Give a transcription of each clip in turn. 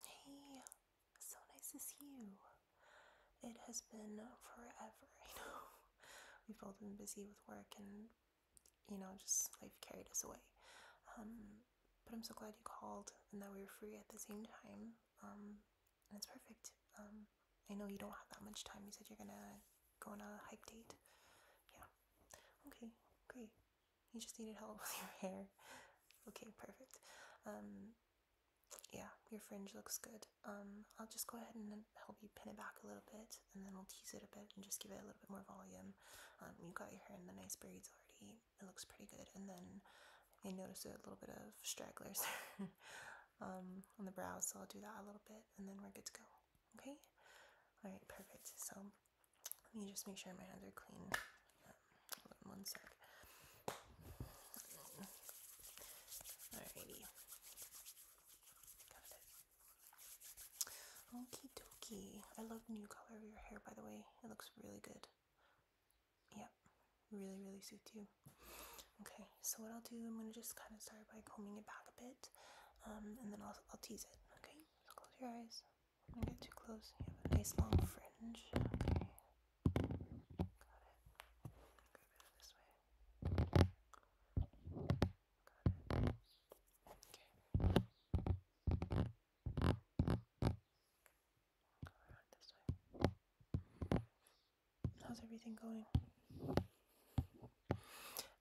Hey, so nice to see you. It has been forever, I know. We've both been busy with work and, you know, just life carried us away. Um, but I'm so glad you called and that we were free at the same time. Um, and it's perfect. Um, I know you don't have that much time. You said you're gonna go on a hike date. Yeah. Okay, great. You just needed help with your hair. Okay, perfect. Um, yeah, your fringe looks good. Um, I'll just go ahead and help you pin it back a little bit, and then we'll tease it a bit and just give it a little bit more volume. Um, you got your hair in the nice braids already. It looks pretty good. And then I noticed a little bit of stragglers um, on the brows, so I'll do that a little bit, and then we're good to go. Okay? Alright, perfect. So let me just make sure my hands are clean. Um, one sec. Alrighty. Got it. I love the new color of your hair, by the way. It looks really good. Yep. Really, really suits you. Okay, so what I'll do, I'm gonna just kind of start by combing it back a bit, um, and then I'll I'll tease it. Okay, so close your eyes. Don't get too close. You have a nice long fringe. Okay, got it. Grab this way. Got it. Okay. How's everything going?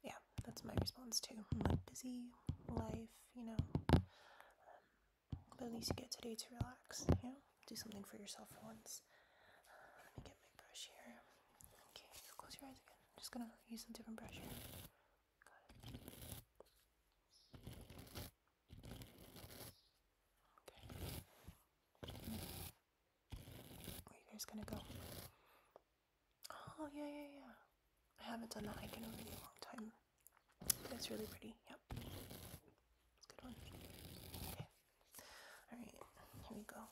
Yeah, that's my response too. like busy life, you know. Um, but at least you get today to relax, you know? Do something for yourself once. let me get my brush here. Okay, close your eyes again. I'm just gonna use a different brush here. Where you guys gonna go? Oh, yeah, yeah, yeah. I haven't done that hike in a really long time. That's really pretty. Yep. It's good one. Okay. Alright, here we go.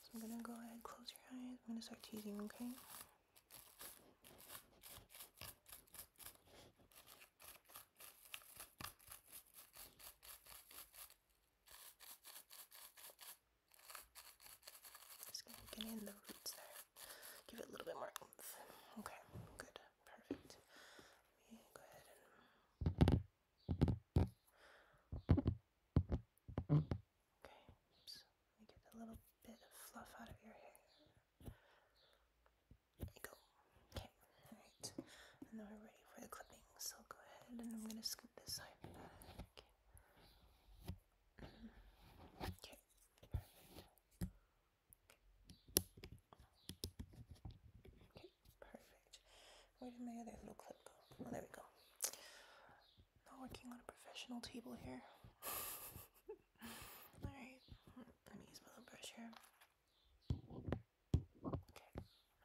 So I'm gonna go ahead, close your eyes. I'm gonna start teasing, okay? Just gonna get in the roots there. Give it a little bit more oomph. Okay, good, perfect. Okay, oops. get a little bit of fluff out of your hair. There you go. Okay, alright. And we're ready for the clipping, so go ahead and I'm going to scoop this side okay, Okay, perfect. Where did my other little clip go? Oh, there we go. Not working on a professional table here. Alright, let me use my little brush here. Okay,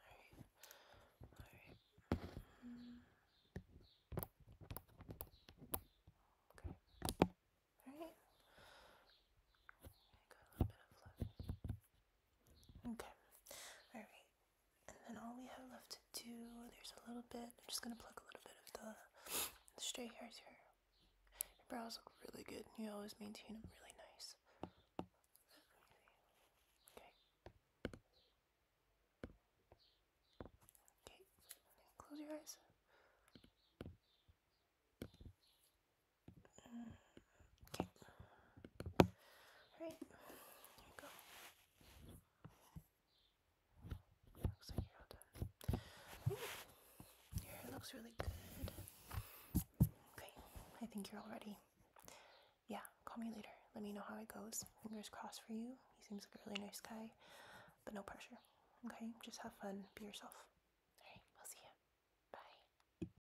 alright, alright. Okay, alright and then all we have left to do, there's a little bit, I'm just going to pluck a little bit of the, the stray hairs here. Your brows look really good, and you always maintain them really nice. Okay. Okay, close your eyes. Mm. Okay. Alright. There you go. Looks like you're all done. Ooh, your hair looks really good. Okay. I think you're all ready. Yeah, call me later. Let me know how it goes. Fingers crossed for you. He seems like a really nice guy, but no pressure. Okay? Just have fun. Be yourself. Alright, I'll see you.